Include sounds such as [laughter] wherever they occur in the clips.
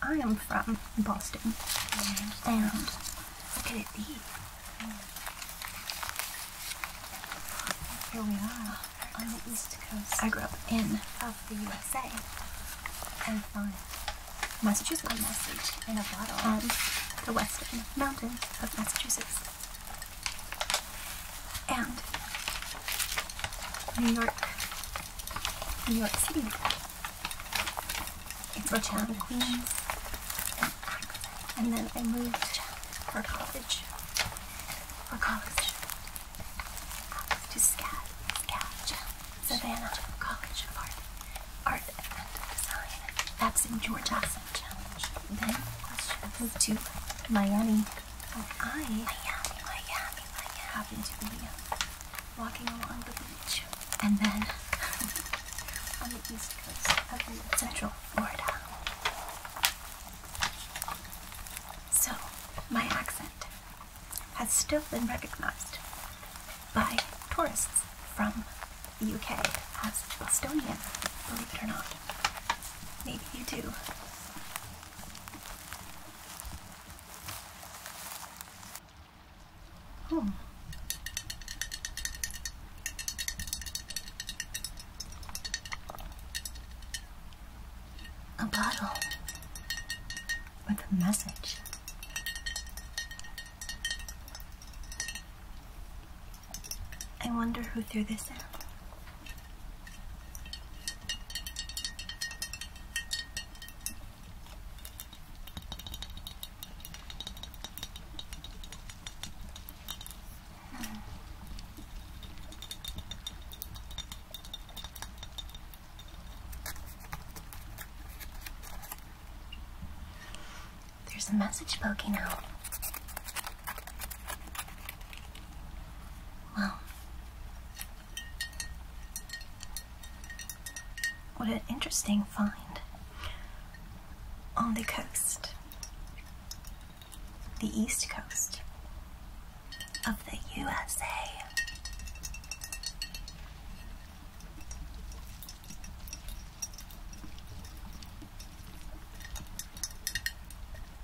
I am from Boston, and look at it be. Here we are on the east coast. I grew up in of the USA. And fun. Massachusetts, Massachusetts, in a bottle. On um, the western mountains of Massachusetts and New York, New York City, Brooklyn, Queens, and then I moved for college, for college, to SCAD, SCAD, Savannah College of Art, Art and Design. That's in George Allison Challenge. Then I moved to Miami and I Miami, Miami, Miami to be walking along the beach, and then [laughs] on the east coast of Central Florida. So my accent has still been recognized by tourists from the UK as Bostonian, believe it or not. Maybe you do. Huh. A bottle with a message. I wonder who threw this out. There's a message poking out. Well, what an interesting find on the coast, the east coast of the USA.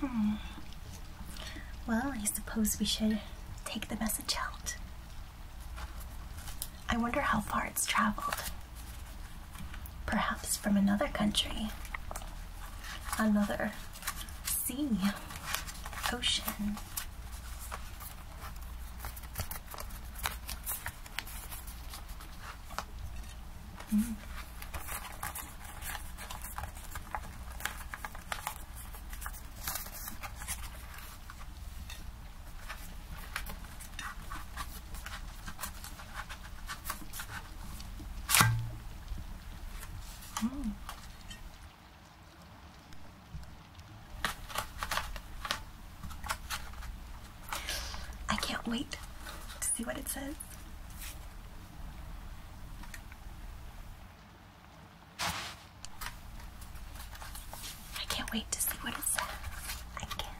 Hmm. Well, I suppose we should take the message out. I wonder how far it's traveled. Perhaps from another country, another sea, ocean. Mm. Hmm. I can't wait to see what it says. I can't wait to see what it says. I can't,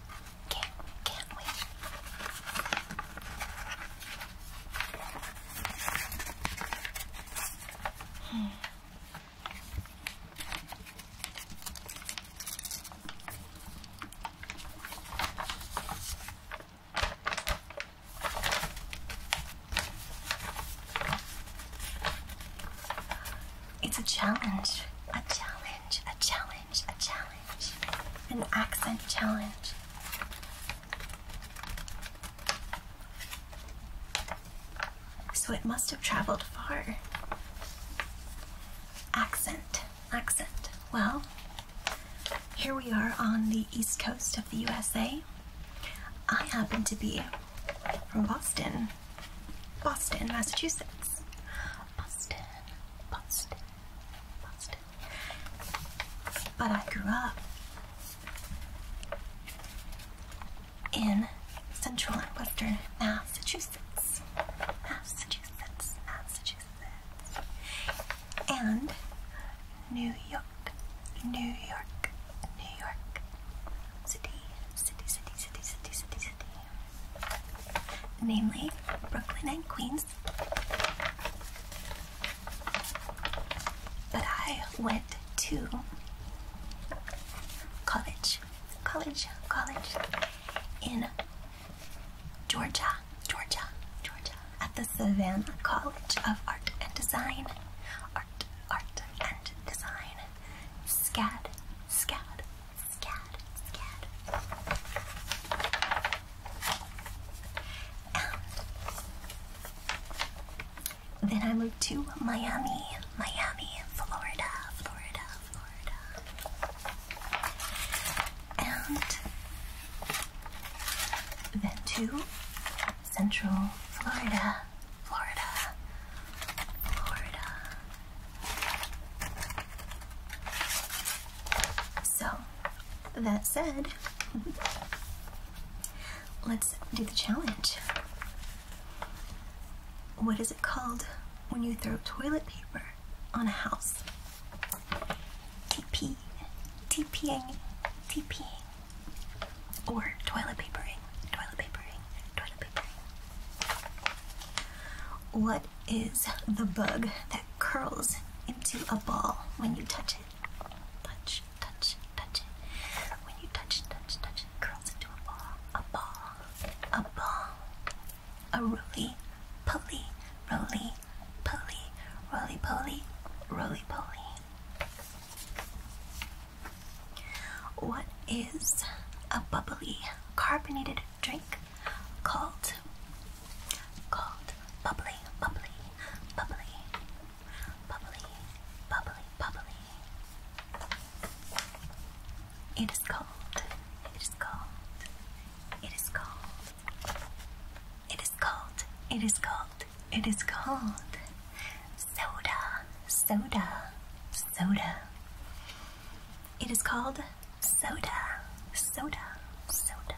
can't, can't wait. Hmm. It's a challenge, a challenge, a challenge, a challenge, an accent challenge. So it must have traveled far. Accent, accent. Well, here we are on the east coast of the USA. I happen to be from Boston, Boston, Massachusetts. Boston, Boston, Boston. But I grew up in central and western Massachusetts. Massachusetts, Massachusetts. And New York. York, New York, New York, city, city, city, city, city, city, city. Namely, Brooklyn and Queens. But I went to college, college, college in Georgia, Georgia, Georgia, at the Savannah College of Art and Design. Art, art, and design. SCAD, SCAD, SCAD, SCAD. And then I moved to Miami, Miami, Florida, Florida, Florida. And then to Central Florida, Florida, Florida. So, that said, [laughs] let's do the challenge. What is it called when you throw toilet paper on a house? TP. TPing. TPing. Or toilet papering, toilet papering, toilet papering. What is the bug that curls into a ball when you touch it? Touch, touch, touch it. When you touch, touch, touch it, curls into a ball, a ball, a ball. A roly, pulley, roly, pulley, roly, poly, roly, poly. What is a bubbly carbonated drink called? Called bubbly, bubbly, bubbly, bubbly, bubbly, bubbly. It is called. It is called. It is called it is called. It is cold. It is cold. Soda. Soda. Soda. It is called soda. Soda. Soda.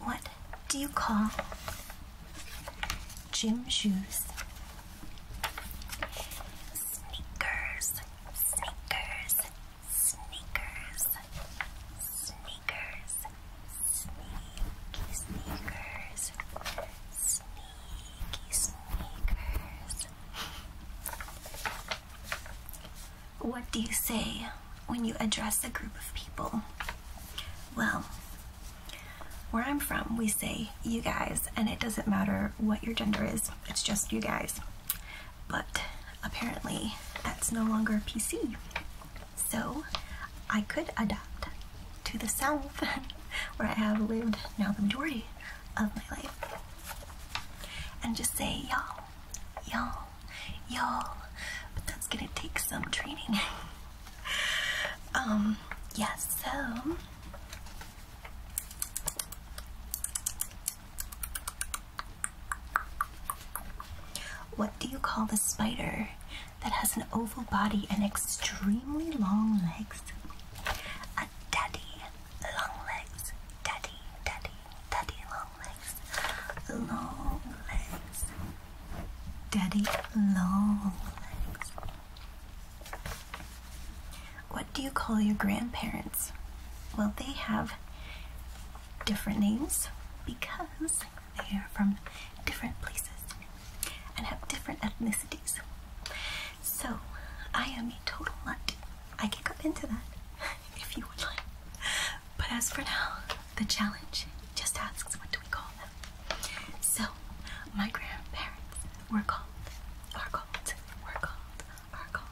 What do you call gym shoes? Sneakers, sneakers, Sneakers, sneakers, sneaky sneakers, sneaky sneakers. What do you say when you address a group of people? Well, where I'm from, we say you guys, and it doesn't matter what your gender is, it's just you guys but apparently that's no longer PC. So I could adapt to the South [laughs] where I have lived now the majority of my life and just say, y'all, y'all, y'all, but that's gonna take some training. [laughs] um, yes, so what do you call the spider that has an oval body and extremely long legs? A daddy long legs. Daddy, daddy, daddy long legs. Long legs. Daddy long legs. What do you call your grandparents? Well, they have different names because they are from different places and have different ethnicities. So, I am a total nut. I can come into that [laughs] if you would like. But as for now, the challenge just asks what do we call them? So, my grandparents were called, are called, were called, are called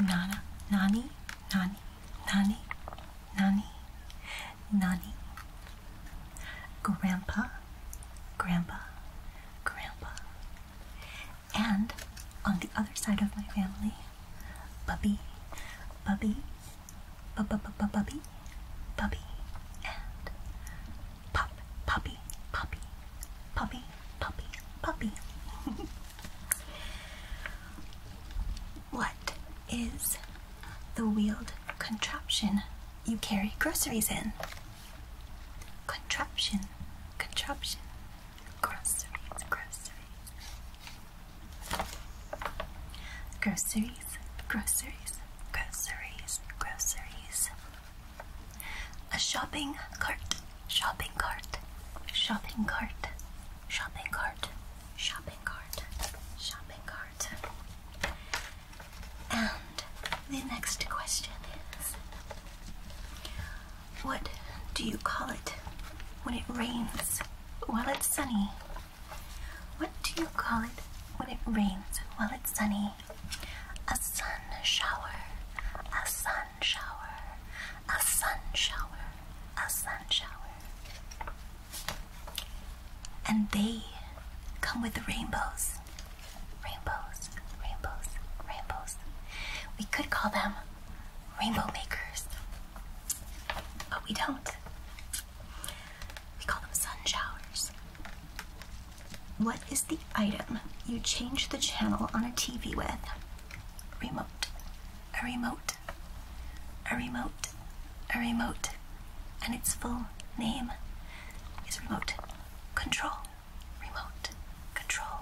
Nana, Nanny, Nanny, Nani, Nani, Nani, Grandpa, Grandpa, Grandpa, and on the other side of my family, Bubby, Bubby, Bubby, Bubby, Bubby, and Puppy, puppy, puppy, puppy, puppy, puppy. what is the wheeled contraption you carry groceries in? Contraption, contraption, groceries, groceries. Groceries, groceries, groceries, groceries. A shopping cart, shopping cart, shopping cart, shopping cart, shopping cart, shopping cart. And the next question is What do you call it when it rains while it's sunny? What do you call it when it rains while it's sunny? a sun shower, a sun shower, a sun shower, a sun shower. And they come with rainbows, rainbows, rainbows, rainbows. We could call them rainbow makers, but we don't. We call them sun showers. What is the item you change the channel on a TV with? Remote, a remote, a remote, a remote, and its full name is remote control. Remote control.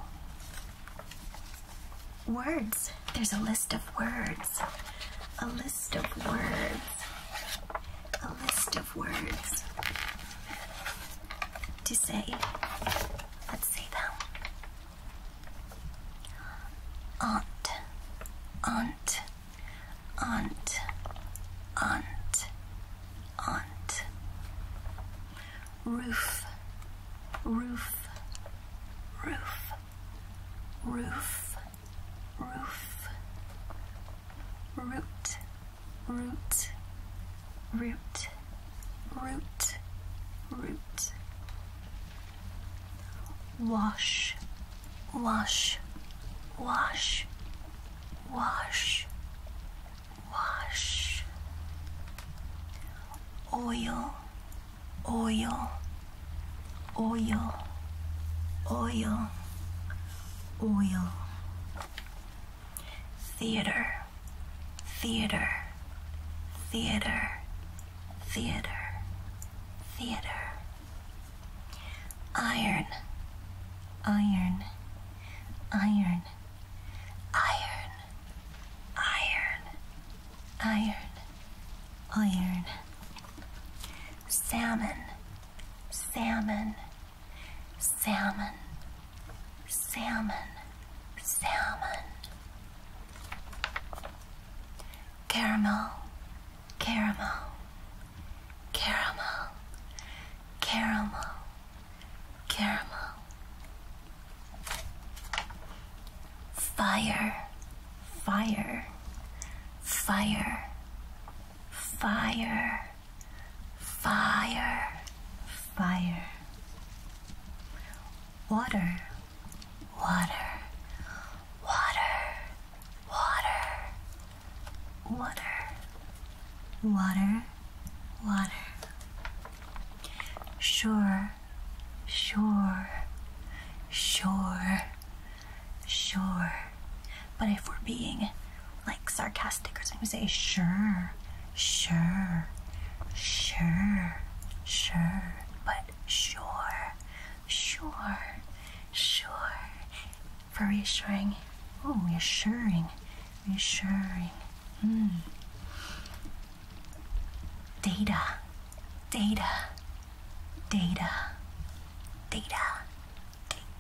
Words. There's a list of words. A list of words. A list of words to say. Let's see them. Aunt, aunt, aunt, aunt, aunt. Roof, roof, roof, roof, roof. Root, root, root, root, root. Wash, wash, wash, wash, wash. Oil, oil, oil, oil, oil theater, theater, theater, theater, theater, iron, iron, iron, iron, iron, iron, iron, salmon, salmon salmon, salmon, salmon. Caramel, caramel, caramel, caramel, caramel. Fire, fire, fire, fire fire, fire. Water, water, water, water, water, water, water. Sure, sure, sure, sure. But if we're being like sarcastic or something. We say sure, sure, sure, sure, but sure, sure, sure. For reassuring, oh, reassuring, reassuring. Mm. Data, data, data, data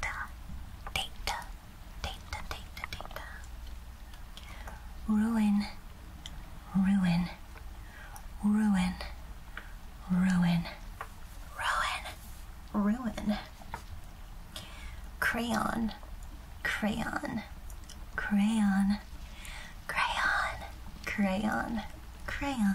data, data, data, data, data. Ruin, ruin, ruin, ruin, ruin, ruin. Crayon, crayon, crayon, crayon, crayon, crayon.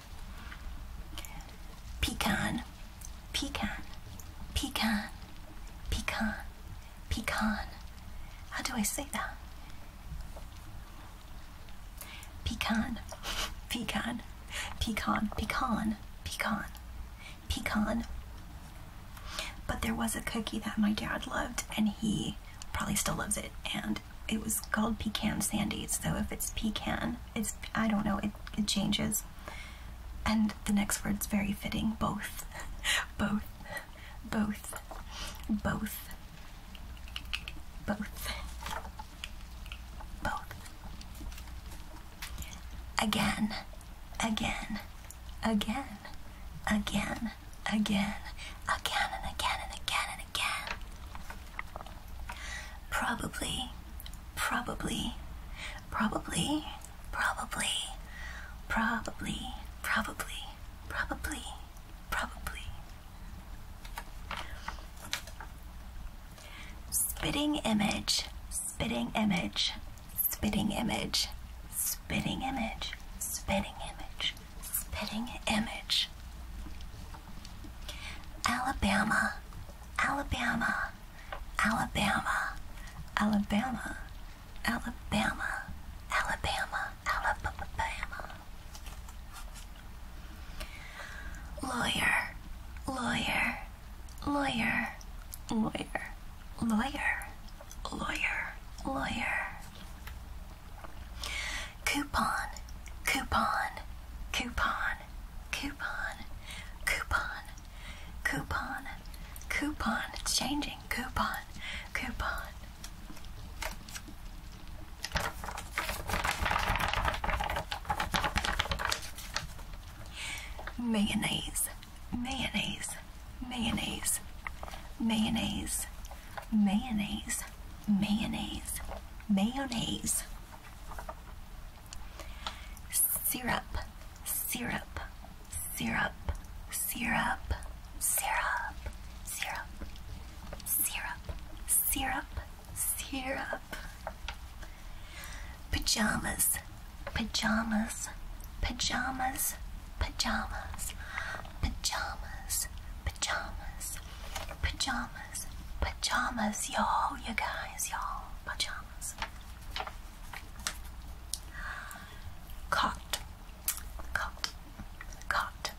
Pecan, pecan, pecan, pecan, pecan. How do I say that? Pecan, pecan, pecan, pecan, pecan, pecan. But there was a cookie that my dad loved, and he probably still loves it, and and it was called pecan sandy. So if it's pecan, it's I don't know. It it changes. And the next word's very fitting. Both, [laughs] both, both, both, both, both. Again, again, again, again, again, again, and again, and again, and again. Probably, probably, probably, probably, probably, probably, probably, probably. Spitting image, spitting image, spitting image, spitting image, spitting image, spitting image. Alabama, Alabama, Alabama, Alabama, Alabama, Alabama, Alabama. Lawyer, lawyer, lawyer, lawyer, lawyer, lawyer, lawyer. Coupon, coupon, coupon, coupon, coupon, coupon, coupon. It's changing. Coupon, coupon. Mayonnaise, mayonnaise, mayonnaise, mayonnaise, mayonnaise, mayonnaise, mayonnaise. Syrup, syrup, syrup, syrup, syrup, syrup, syrup, syrup, syrup. Pajamas, pajamas, pajamas, pajamas, pajamas, pajamas, pajamas pajamas. Pajamas, y'all, you guys, y'all. Pajamas. Cot. Cot. Cot.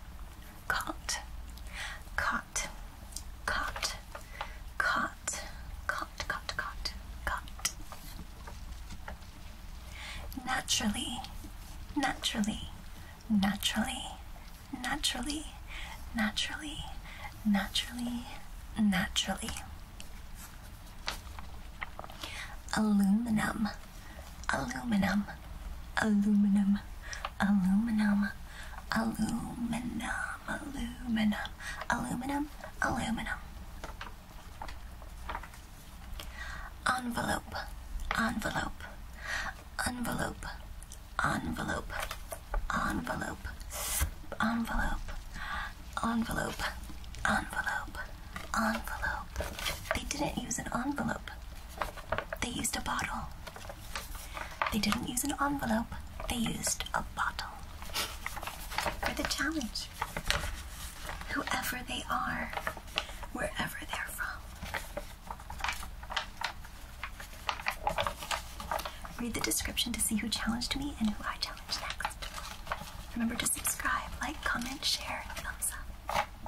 Cot. Cot. Cot. Cot. Cot. Cot. Cot. Cot. Naturally. Naturally. Naturally naturally, naturally, naturally, naturally. Aluminum, aluminum, aluminum, aluminum, aluminum, aluminum, aluminum, aluminum. Envelope, envelope, envelope, envelope, envelope, envelope, envelope, envelope, envelope. They didn't use an envelope. They used a bottle. They didn't use an envelope. They used a bottle. For the challenge. Whoever they are, wherever they're from, Read the description to see who challenged me and who I challenge next. Remember to subscribe, like, comment, share, thumbs up.